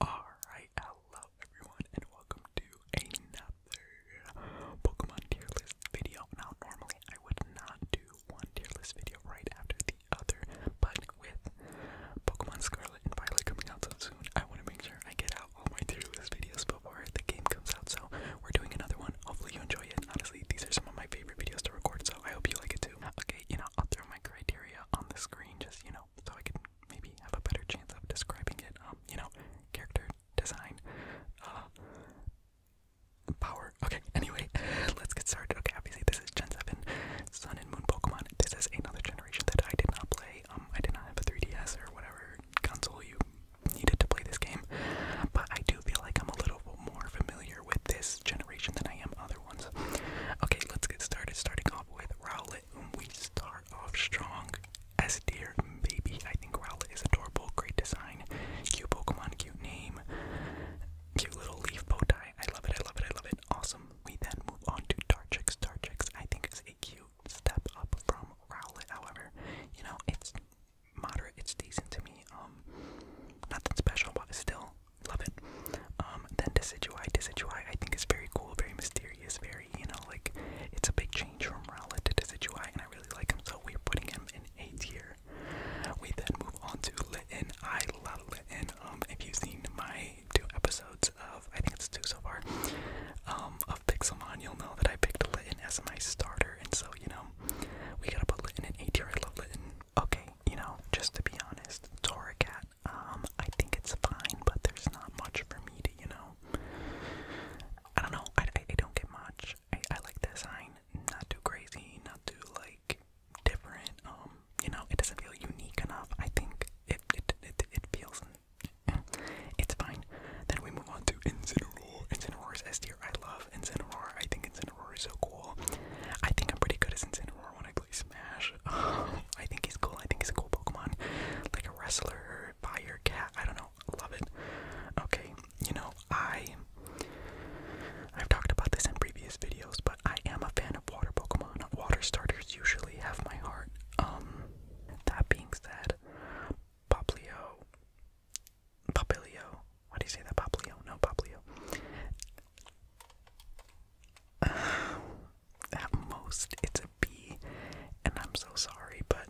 Alright, hello everyone, and welcome to another Pokemon tier list video. Now, normally I would not do one tier list video right after the other, but with Pokemon Scarlet and Violet coming out so soon, I want to make sure I get out all my tier list videos before the game comes out. So, we're doing another one. Hopefully, you enjoy it. Honestly, these are some of my favorite videos to record, so I hope you like it too. Okay, you know, I'll throw my criteria on the screen just, you know, so I can maybe have a better chance of describing it. Um, you know, character design, uh, power. Okay, anyway, let's get started. Okay, obviously this is Gen 7 Sun and Moon Pokemon. This is another generation that I did not play. Um, I did not have a 3DS or whatever console you needed to play this game, but I do feel like I'm a little more familiar with this generation than I am other ones. Okay, let's get started. Starting off with Rowlet, whom we start start strong as deer, baby. I think Rowlet is adorable, great design, cute Pokemon, cute name, cute little leaf bow tie. I love it, I love it, I love it. Awesome. We then move on to Dartrix. Dartrix, I think, is a cute step up from Rowlet, however. You know, it's moderate, it's decent to me. Um, nothing special, but still love it. Um, then Decidueye. Decidueye, I think, is very cool, very mysterious theory is very, you know, like it's a big change from Rowlet to Decidueye, and I really like him, so we're putting him in A tier. We then move on to Litten. I love Litten. Um, if you've seen my two episodes of, I think it's two so far, um, of Pixelmon, you'll know that I picked Litten as my starter, and so, you know, we gotta put Litten in A tier. I love Litten. Okay, you know, just to be honest, Toracat um, I think it's fine, but there's not much for me to, you know. I don't know. I, I, don't get much. I, I like the design. Not too crazy. Not too like different. Um, you know, it doesn't feel unique enough. I think it it it, it feels. Eh, it's fine. Then we move on to Incineroar. Incineroar is S tier. I love Incineroar. I think Incineroar is so cool. I think I'm pretty good as Incineroar when I play I think he's cool. I think he's a cool Pokemon. Like a wrestler, fire cat. I don't know. Love it. Okay, you know, I I've talked about this in previous videos, but I am a fan of water Pokemon. Water starters usually have my heart. Um that being said, Poplio Popilio. Why do you say that? Poplio? No, Poplio. at most it's a B, and I'm so sorry, but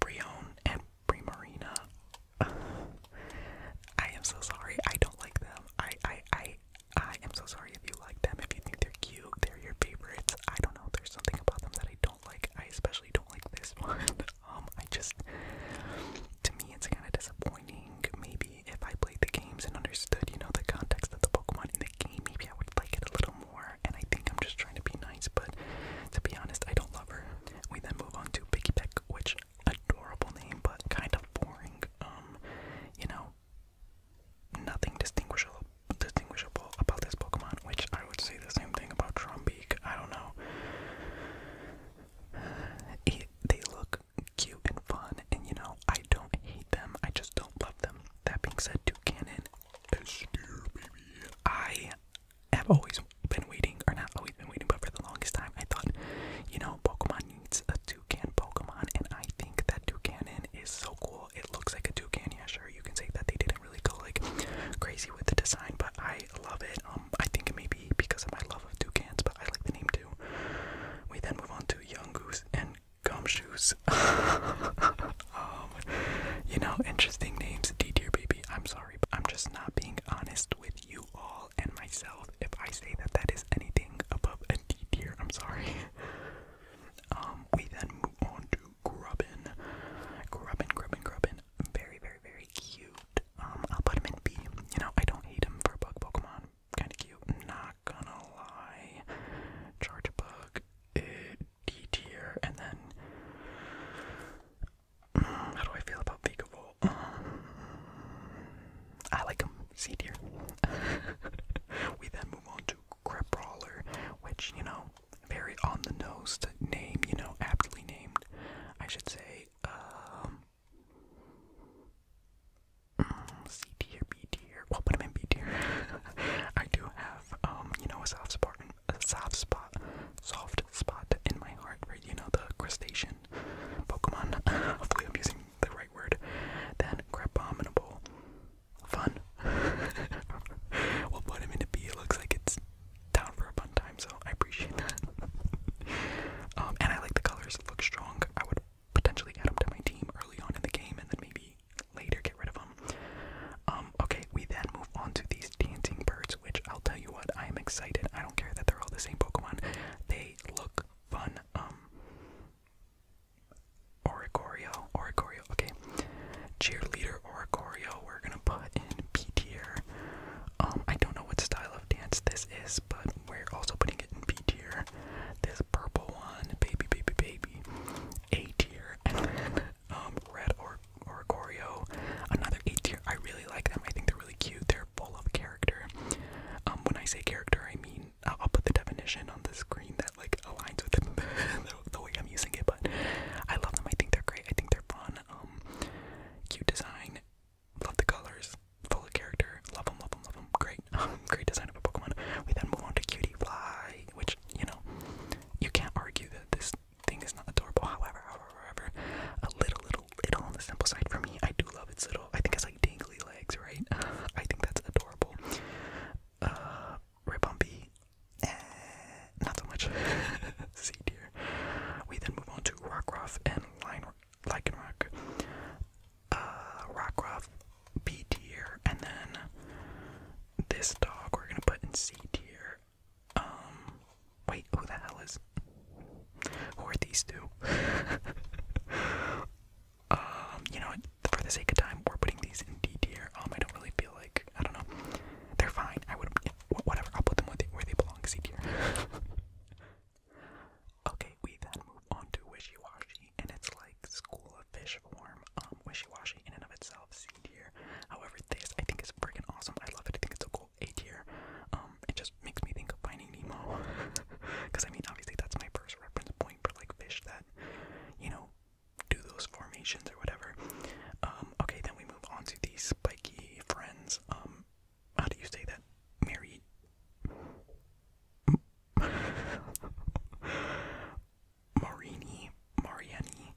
Brion and Primarina, I am so sorry. I don't like them. I, I, I, I am so sorry if you like them. If you think they're cute, they're your favorites. I don't know. There's something about them that I don't like. I especially don't like this one. Um, I just, to me, it's kind of disappointing. Maybe if I played the game and understood, you know, the context of the Pokemon in the game, maybe I would like it a little more. And I think I'm just trying to be nice, but to be honest, I don't love her. We then move on to Piggyback, which adorable name, but kind of boring. Um, you know, nothing distinguishable distinguishable about this Pokemon, which I would say the same thing about Trombeak. I don't know. It, they look cute and fun, and you know, I don't hate them, I just don't love them. That being said, Toucanon is I have always been waiting, or not always been waiting, but for the longest time, I thought, you know, Pokemon needs a toucan Pokemon, and I think that Toucanon is so cool. It looks like a toucan. Yeah, sure, you can say that they didn't really go like crazy with the design, but I love it. Um, I think it may be because of my love of toucans, but I like the name too. We then move on to Young Goose and gumshoes. um, you know, interesting names, D tier baby. I'm sorry, but I'm just not being honest with you all and myself if I say that that is anything above a D tier. I'm sorry. Um, we then move on to Grubbin. Grubbin, Grubbin, Grubbin. Very, very, very cute. Um, I'll put him in B. You know, I don't hate him for a bug Pokemon. Kinda cute. Nah, not gonna lie. Charge bug, it eh, D tier, and then mm, how do I feel about Vigavolt? Um, I like him, C tier. we then move on to Crabrawler, which you know, very on the nose name, you know, aptly named, I should say. Um, mm, C tier, B We'll put him in B tier. I do have, um, you know, a soft spot, soft spot, in my heart for you know the crustacean Pokemon. Hopefully, I'm using the right word. Then Crabominable, fun. we'll put him into B. It looks like it's down for a fun time, so I appreciate that. um, and I like the colors. It looks strong. I would potentially add him to my team early on in the game, and then maybe later, get rid of them. Um, okay, we then move on to these dancing birds, which I'll tell you what, I am excited. I don't care that they're all the same Pokemon. They look fun. Um Oricorio, Oricorio, okay. Cheerleader Oricorio, we're gonna put in B Um, I don't know what style of dance this is, but we're also putting it in B This purple one, baby, baby, baby, A tier, and then um, red or or Oreo, another eight tier. I really like them. I think they're really cute. They're full of character. Um, when I say character, I mean uh, I'll, put the definition on the screen that like aligns with the, the way I'm using it. But I love them. I think they're great. I think they're fun. Um, cute design. Love the colors. Full of character. Love them. Love them. Love them. Great. great design of a Pokemon. We then move on to Cutie Fly which you know you can't argue that this thing is not adorable. However, however, however, a little, little, little on the simple side for me. I do love its little. I think it's like dangly legs, right? I think that's adorable. Uh, Ribumpy, eh, not so much. C tier. We then move on to Rockruff and Lycanroc. Uh, Rockruff, B tier, and then this dog we're gonna put in C tier. Um, wait, who the hell is? Who are these two? um, you know, for the sake of time, we're putting these in D tier. Um, I don't really feel like I don't know. They're fine. I would whatever. I'll put them where they, where they belong. C tier. okay, we then move on to Wishy Washy, and it's like school a fish form, um, wishy-washy in and of itself, C tier. However, this I think is freaking awesome. I love it. I think it's so cool. Eight tier. Um, it just makes me think of Finding Nemo, because I mean, obviously that's my first reference point for like fish that, you know, do those formations or whatever. Um, okay, then we move on to the spiky friends. Um, how do you say that, Mary? Marini, Mariani,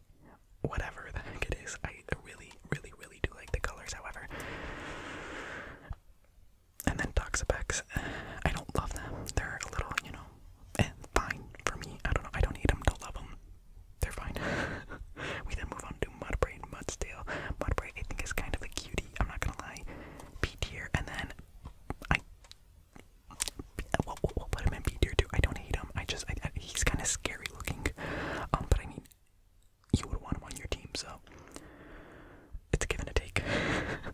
whatever the heck it is. I really, really, really do like the colors, however. And then Toxapex. I don't love them. They're a little, you know, eh, fine for me. I don't know. I don't need them. to love them. They're fine. we then move on to Mudbray and Mudsdale. Mudbray, I think, is kind of a cutie. I'm not gonna lie. B tier. And then I what, what, what would Embiid do? Too? I don't hate him. I just I, he's kind of scary looking. Um, but I mean, you would want him on your team, so it's a give and take.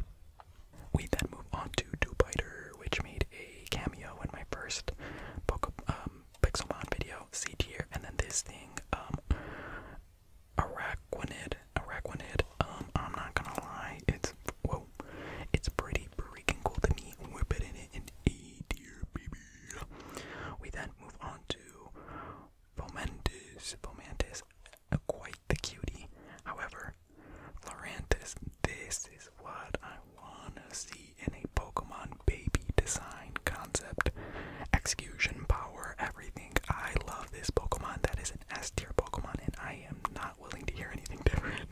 we then move on to Dubiter, which made a cameo in my first Poke, um, Pixelmon video, C tier, and then this thing, um, Araquanid. Um, I'm not gonna lie, it's whoa, it's pretty freaking cool to me. We're betting it in A tier, baby. We then move on to Fomentis. Fomentis, uh, quite the cutie. However, Florantis, this is what I wanna see in a Pokemon baby design concept. Execution, power, everything. I love this Pokemon. That is an S tier Pokemon, and I am not not willing to hear anything different.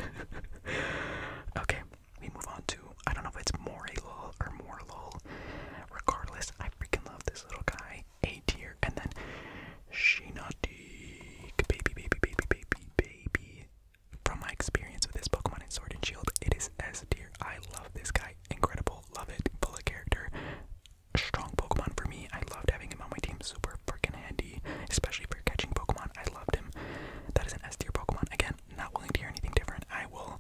okay, we move on to I don't know if it's Morilol or Morlol. Regardless, I freaking love this little guy. A tier, and then Shinotique, baby, baby, baby, baby, baby. From my experience with this Pokemon in Sword and Shield, it is S tier. I love this guy. Incredible, love it. Full of character. Strong Pokemon for me. I loved having him on my team. Super freaking D, especially for catching Pokemon. I loved him. That is an S tier Pokemon. Again, not willing to hear anything different. I will.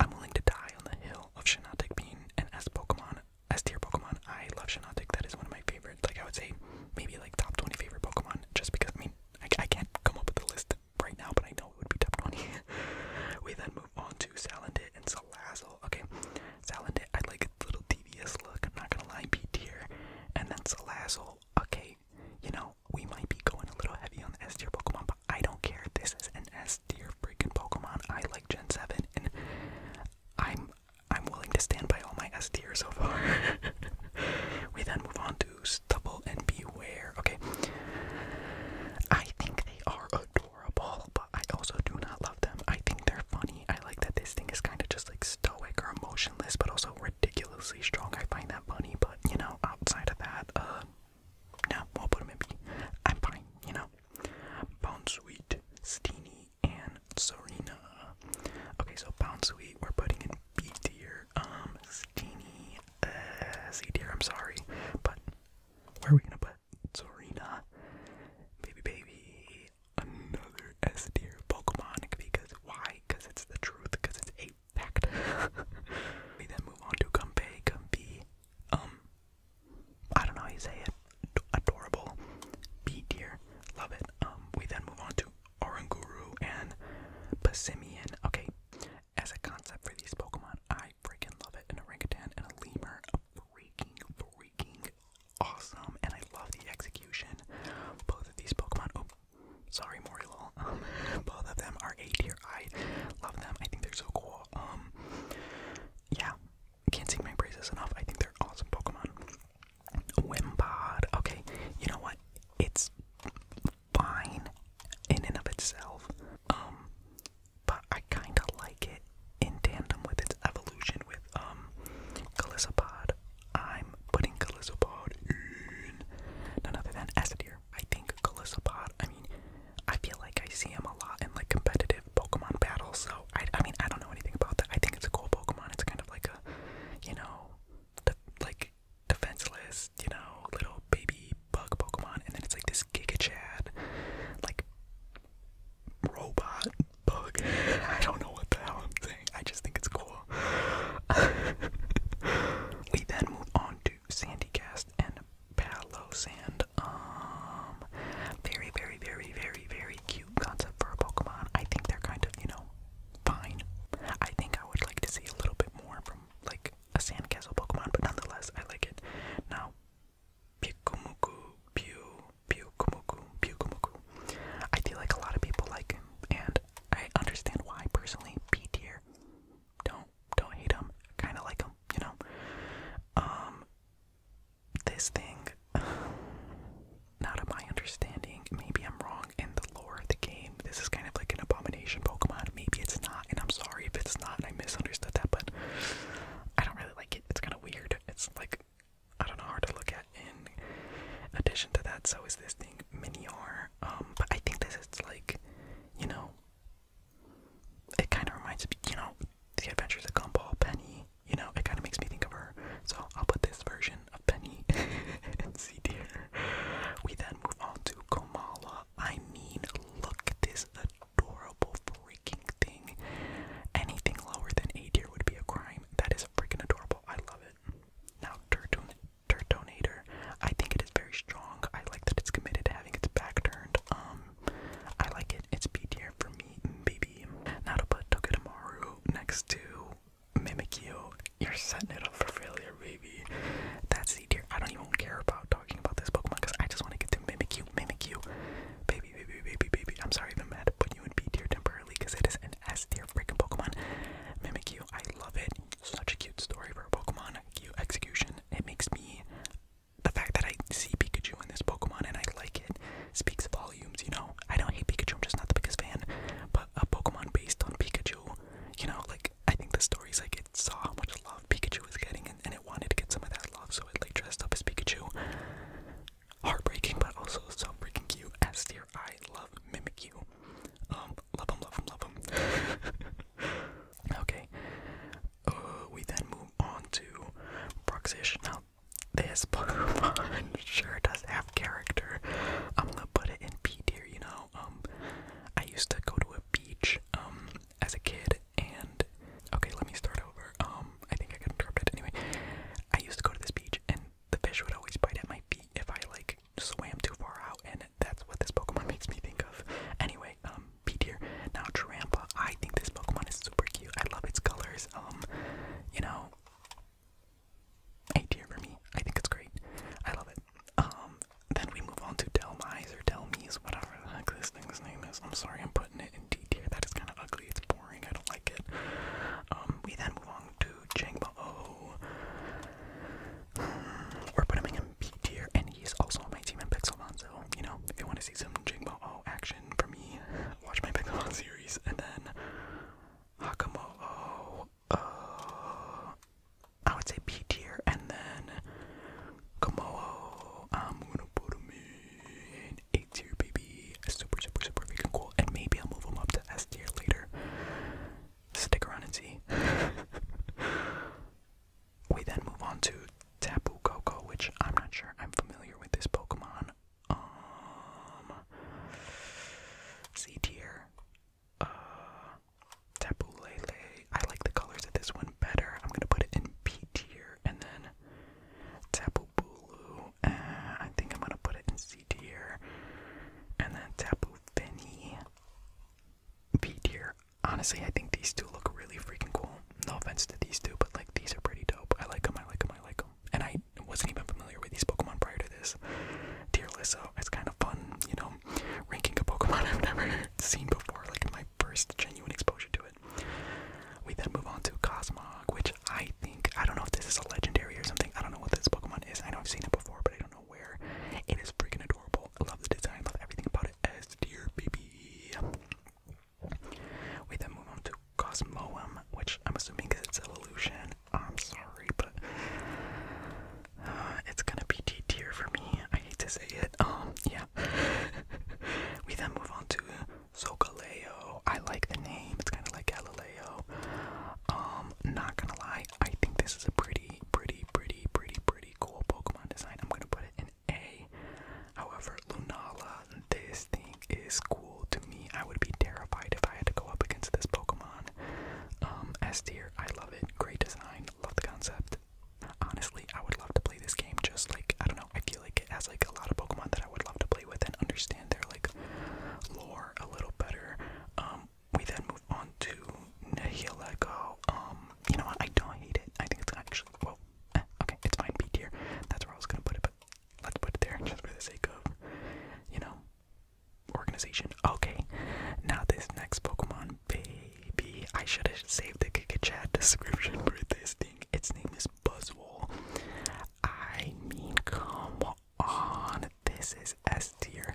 I'm willing to die on the hill of Shinotic being an S Pokemon, S tier Pokemon. I love Shinotic. That is one of my favorite. Like I would say, maybe like top 20 favorite Pokemon. Just because I mean, I, can't come up with a list right now, but I know it would be top 20. we then move on to Salandit and Salazzle. Okay, Salandit. I like its little devious look. I'm not gonna lie, B tier. And then Salazzle. Okay, you know, we might be going a little heavy on the S tier Pokemon, but I don't care. This is an S tier freaking Pokemon. I like Gen 7, and I'm I'm willing to stand by all my S tier so far. we then move on to Stubble and Beware. Okay. I think they are adorable, but I also do not love them. I think they're funny. I like that this thing is kind of just like stoic or emotionless, but also ridiculously strong. I find that funny, but you know, outside of that, uh, no, we'll put him in B. I'm fine, you know. Bounceweet, Steenie, and Serena. Okay, so sweet, we're putting in B deer. Um, Steenie, uh, deer. I'm sorry, but where are we gonna put Serena? Baby, baby, another S tier Pokemon because why because it's the truth because it's a fact. we then move on to Gumpei Gumpy. Um, I don't know how you say it. adorable. B dear. Love it. Um, we then move on to Oranguru and Passimian. Okay, as a concept for these Pokemon, I freaking love it. An orangutan and a lemur. freaking, freaking awesome. And I love the execution. Both of these Pokemon. Oh, Sorry, Morilol. both of them are A dear. I love them. I think they're so cool. Um, yeah, can't sing my praises enough. I think they're awesome Pokemon. Wimpod. Okay, you know what? It's fine in and of itself. Um, but I kind of like it in tandem with its evolution with um, I'm putting Calissopod in none other than Essadir. I think Calissopod, I mean, I feel like I see him a lot in like competitive Pokemon battles, so I, I mean, I don't know anything about that. I think it's a cool Pokemon. It's kind of like a, you know, like defenseless, you know, little baby bug Pokemon, and then it's like this Giga Chad, like robot bug. I don't know what the hell I'm saying. I just think it's cool we then move on to Sandycast and Palo Sand. Um, very, very, very, very, very cute concept for a Pokemon. I think they're kind of, you know, fine. I think I would like to see a little bit more from, like, a Sandcastle Pokemon, but nonetheless, I like it. Now, Pikumuku, Pew, Pikumuku, Pikumuku. I feel like a lot of people like and I understand why personally. B tier. Don't don't hate him. Kind of like him, you know. Um, this thing, not of my understanding. Maybe I'm wrong in the lore of the game. This is kind of like an abomination Pokemon. Maybe it's not, and I'm sorry if it's not. And I misunderstood that, but I don't really like it. It's kind of weird. It's like I don't know, hard to look at in addition to that so is this thing mini minior um but i think this is like you know it kind of reminds me you know the adventures of gumball penny you know it kind of makes me think of her so i'll put this version of penny and see dear we then move on to komala i mean look at this adorable freaking thing anything lower than a tier would be a crime that is freaking adorable i love it now turtune dirt donator. I think it is very strong. I like that it's committed to having its back turned. Um, I like it. It's B tier for me, mm, baby. Now to next to Mimikyu. You're setting it up for failure, baby. That's C tier. I don't even care about talking about this Pokemon because I just want to get to Mimikyu. Mimikyu. Baby, baby, baby, baby. I'm sorry I'm mad to put you in B tier temporarily because it is as S tier freaking Pokemon. Mimikyu, I love it. Such a cute story for a Pokemon. Cute execution. It makes me. The fact that I see Pikachu in this Pokemon and I like it speaks volumes, you know? I don't hate Pikachu, I'm just not the biggest fan. But a Pokemon based on Pikachu, you know, like, I think the story's like, it saw how much love Pikachu was getting and, and it wanted to get some of that love, so it, like, dressed up as Pikachu. Heartbreaking, but also so freaking cute. As dear, I love Mimikyu. Um, love him, love him, love him. okay, uh, we then move on to Bruxish. Now, this Pokemon sure does have character. I'm gonna put it in B here. you know. Um, I used to go to a beach, um, as a kid, and okay, let me start over. Um, I think I can interrupt it anyway. I used to go to this beach, and the fish would always bite at my feet if I like swam too far out, and that's what this Pokemon makes me think of. Anyway, um, B Now Trampa, I think this Pokemon is super cute. I love its colors. Um, you know, A dear for me. I think it's great. I love it. Um, then we move on to Delmise or Delmise, whatever the heck this thing's name is. I'm sorry, I'm putting it in D tier. That is kind of ugly. It's boring. I don't like it. Um, we then move on to Jangbo. We're putting him in B tier, and he's also on my team in Pixelmon, so, you know, if you want to see some Jingbo O action from me, watch my Pixelmon series, and then Hakamo O, uh, I would say B tier, and then Komoo, I'm um, gonna put him in A tier, baby. Super, super, super freaking cool, and maybe I'll move him up to S tier later stick around and see. we then move on to Tapu Koko, which I'm not sure I'm familiar with this Pokemon. Um, C tier. Uh, Tapu Lele. I like the colors of this one better. I'm gonna put it in B tier, and then Tapu Bulu. I think I'm gonna put it in C tier, and then Tapu Finny. B tier. Honestly, I think these two look really freaking cool. No offense to these two, but like these are pretty dope. I like them. I like them. I like them. And I wasn't even familiar with these Pokemon prior to this tier list, so it's kind of fun, you know, ranking a Pokemon I've never seen before. Like my first genuine exposure to it. We then move on to Cosmog, which I think I don't know if this is a legendary or something. I don't know what this Pokemon is. I know I've seen it before, but I don't know where it is freaking adorable. I love the design, love everything about it. As dear baby. We then move on to Cosmoem, which I'm assuming because it's Evolution. I'm sorry, but uh, it's gonna be T. tier for me. I hate to say it. Um, yeah. we then move on to Sokaleo. I like the name. It's kind of like Galileo. Um, not gonna lie, I think this is a pretty, pretty, pretty, pretty, pretty cool Pokemon design. I'm gonna put it in A. However, Lunala, this thing is cool to me. I would be terrified if I had to go up against this Pokemon. Um, S tier, I love it. Great design, love the concept. Honestly, I would love to play this game just like I don't know, I feel like it has like a lot of Pokemon that I would love to play with and understand their like lore a little better. Um um, we then move on to Nihilego. Um, you know what? I don't hate it. I think it's actually well. Eh, okay, it's fine. B tier. That's where I was gonna put it, but let's put it there just for the sake of, you know, organization. Okay. Now this next Pokemon, baby. I should have saved the Kikichat description for this thing. Its name is Buzzwole. I mean, come on on. This is S tier.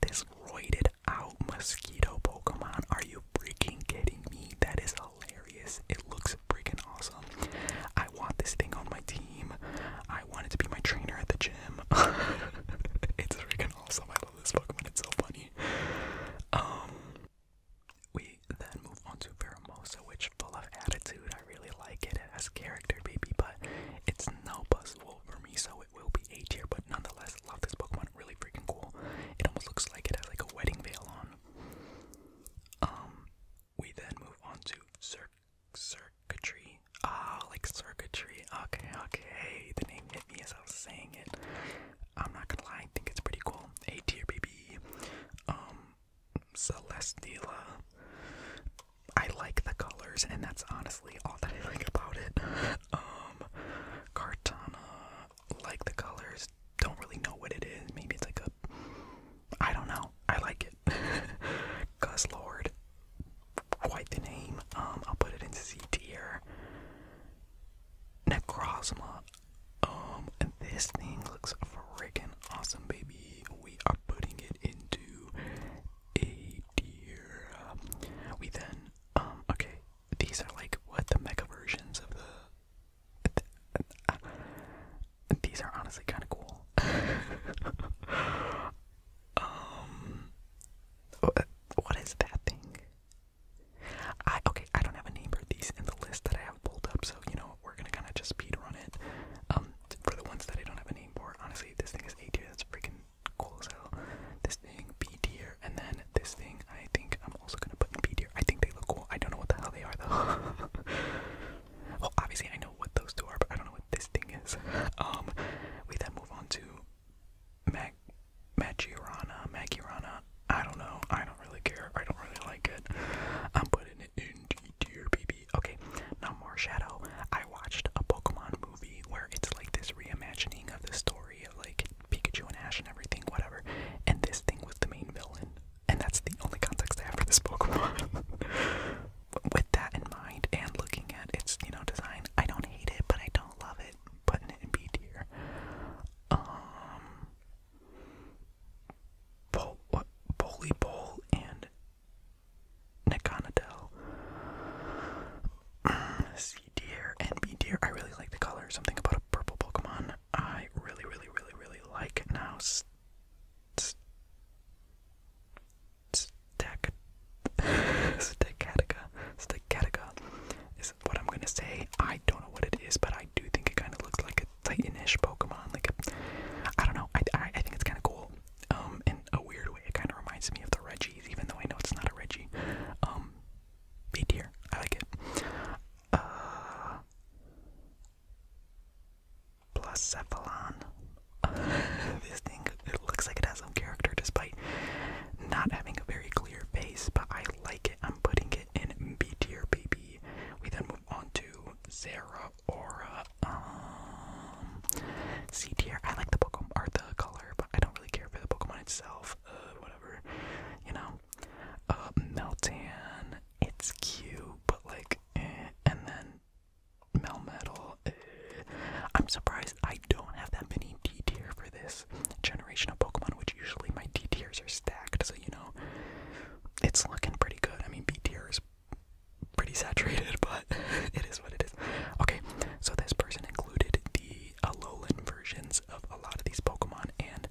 This roided out mosquito Pokemon. Are you freaking kidding me? That is hilarious. It looks freaking awesome. I want this thing on my team. I want it to be my trainer at the gym. it's freaking awesome. I love this Pokemon. It's so funny. Um we then move on to Veramosa, which full of attitude. I really like it. as has character, baby, but it's no possible for me, so it will be A tier, but nonetheless, love this Pokemon. Really freaking cool. It almost looks like it has like a wedding veil on. Um, we then move on to circuitry. Ah, like circuitry. Okay, okay. The name hit me as I was saying it. I'm not gonna lie, I think it's pretty cool. A tier, baby. Um, Celestela. I like the colors, and that's honestly all that I like about it. Um, Cartana, like the colors, don't really know what it is. Maybe it's like a. I don't know. I like it. Guzzlord, quite the name. Um, I'll put it into C tier. Necrozma. Um, this thing looks freaking awesome, baby. We are putting it into A tier. We then um, okay, these are like what the mega versions of the. these are honestly kind of cool. um, what, what is that thing? I okay, I don't have a name for these in the list that I have pulled up, so you know we're gonna kind of just speed run it. Um, for the ones that I don't have a name for, honestly, this thing is A tier. freaking cool as hell. This thing, B tier, and then this thing I think I'm also gonna put in B I think they look cool. I don't know what the hell they are though. well obviously I know what those two are, but I don't know what this thing is. Um we then move on to Mag Magirana, Magirana. I don't know. I don't really care. I don't really like it. I'm putting it in D tier, baby. Okay, now more shadow. I watched a Pokemon movie movie where it's like this reimagining of the story of like Pikachu and Ash and everything, whatever. And this thing was the main villain, and that's the only context I have for this Pokemon. With that in mind, and looking at its you know design, I don't hate it, but I don't love it. But it in B tier. Um, Bol what Boli and Naconadel. C tier and B tier. I really like the color. Something about a purple Pokemon I really, really, really, really like. Now, Stack Staccatica. Staccatica is what I'm gonna say. I don't know what it is, but I do think it kind of looks like a Titanish Pokemon. Like, a, I don't know. I, I think it's kind of cool. Um, in a weird way, it kind of reminds me of the Reggie even though I know it's not a Reggie. Um, B tier. I like it. Uh, plus Cephalon. this thing, it looks like it has some character despite not having a very clear base, but I like it. I'm putting it in B dear, baby. We then move on to Zera Aura. Um, C dear. I like the Pokemon, or the color but I don't really care for the Pokemon itself. Uh, whatever, you know. Uh, Meltan, it's cute, but like, eh, and then Melmetal. Eh. I'm surprised I don't have that many D tier for this generation of Pokemon, which usually my D tiers are stacked. So you know, it's looking pretty good. I mean, B tier is pretty saturated, but it is what it is. Okay, so this person included the the uh, Alolan versions of a lot of these Pokemon, and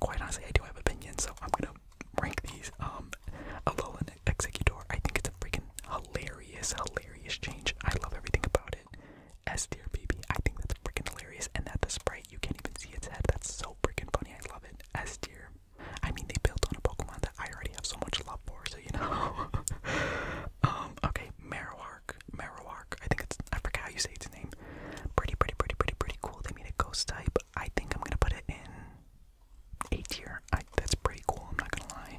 quite honestly, I do have opinions, so I'm gonna rank these. Um, Alolan Executor, I think it's a freaking hilarious, hilarious change. I love everything about it. S tier, baby, I think that's freaking hilarious, and that the sprite, you can't even see its head, that's so freaking funny, I love it. S tier. I mean, they built on a Pokemon that I already have so much love for, so you know. um, okay, Marowar. Marowak, I think it's I forget how you say its name. Pretty, pretty, pretty, pretty, pretty cool. They made a ghost type. I think I'm gonna put it in A tier. I, that's pretty cool. I'm not gonna lie.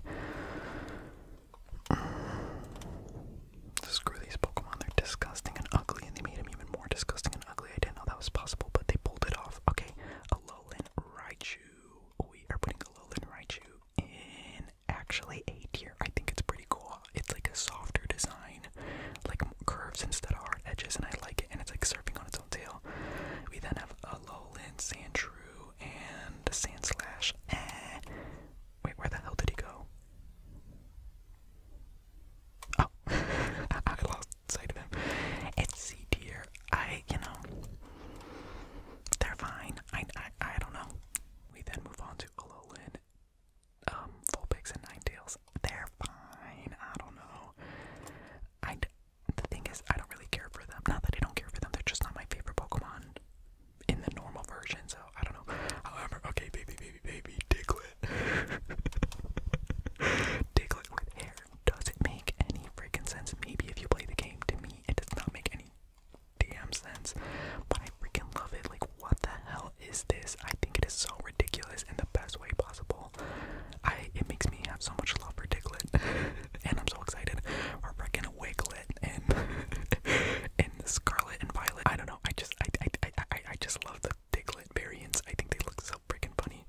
Mm. Screw these Pokemon. They're disgusting and ugly, and they made them even more disgusting and ugly. I didn't know that was possible, but they pulled it off. Okay, Alolan Raichu. We are putting Alolan Raichu in actually A tier. I think it's pretty cool. It's like a softer design, like curves instead of hard edges, and I like it. And it's like surfing on its own tail. We then have a Lowland sandrew and a Sand Slash. Eh. Wait, where the hell did he go? Oh, I lost sight of him. It's C tier. I, you know, they're fine. I, I, I don't know. We then move on to Alolan, um, Vulpix, and Nine Tails. They're fine. I don't know. I d the thing is, I don't really care for them. Not that I don't care for them, they're just not my favorite Pokemon in the normal version, so I don't know. However, okay, baby, baby, baby, Diglett. Diglett with hair doesn't make any freaking sense. Maybe if you play the game, to me, it does not make any Damn sense, but I freaking love it. Like, what the hell is this? I think it is so ridiculous in the best way possible. I it makes me have so much love for Diglett, and I'm so excited for freaking Wiglet and and Scarlet and Violet. I don't know. I just I I I, I, I just love the Diglett variants. I think they look so freaking funny.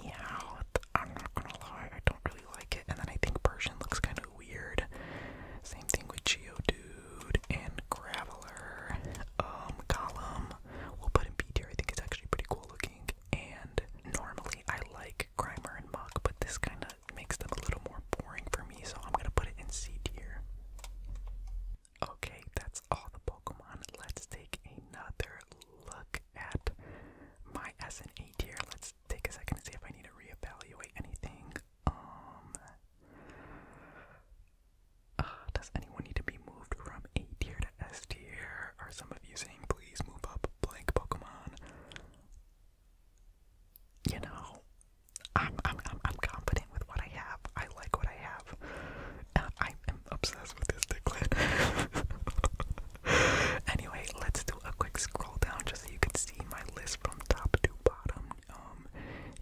Meow. I'm not gonna lie. I don't really like it. And then I think Persian looks kind of weird. Same thing with Geo Dude and Graveler. Um, Column, we'll put in B tier. I think it's actually pretty cool looking. And normally I like Grimer and Mach, but this kind of makes them a little more boring for me, so I'm gonna put it in C tier. Okay, that's all the Pokemon. Let's take another look at my S and A tier. Let's take a second and see if I need to reevaluate anything. Um, uh, does anyone need to be moved from A tier to S tier? Are some of you saying, please move up blank Pokemon? You know, I'm, I'm, I'm, I'm confident with what I have. I like what I have. I am obsessed with this Diglett. anyway, let's do a quick scroll down just so you can see my list from top to bottom um,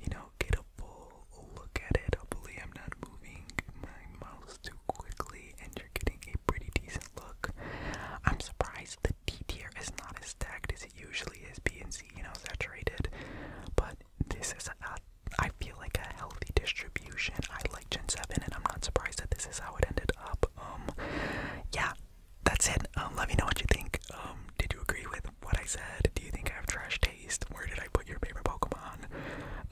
you know, get a full look at it. Hopefully, I'm not moving my mouse too quickly, and you're getting a pretty decent look. I'm surprised the D tier is not as stacked as it usually is, B and C, you know, saturated. But this is a, I feel like a healthy distribution. I like Gen 7, and I'm not surprised that this is how it ended up. Um, yeah, that's it. Um, let me know what you think. Um, did you agree with what I said? Do you think I have trash taste? Where did I put your favorite Pokemon?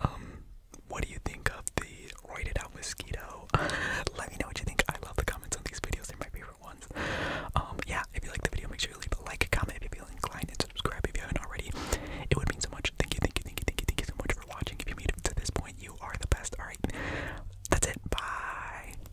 Um, what do you think of the roided out mosquito? let me know what you think. I love the comments on these videos. They're my favorite ones. yeah, if you like the video, make sure you leave a like, comment if you feel inclined, and subscribe if you haven't already. It would mean so much. Thank you, thank you, thank you, thank you, thank you so much for watching. If you made it to this point, you are the best. All right, that's it. Bye.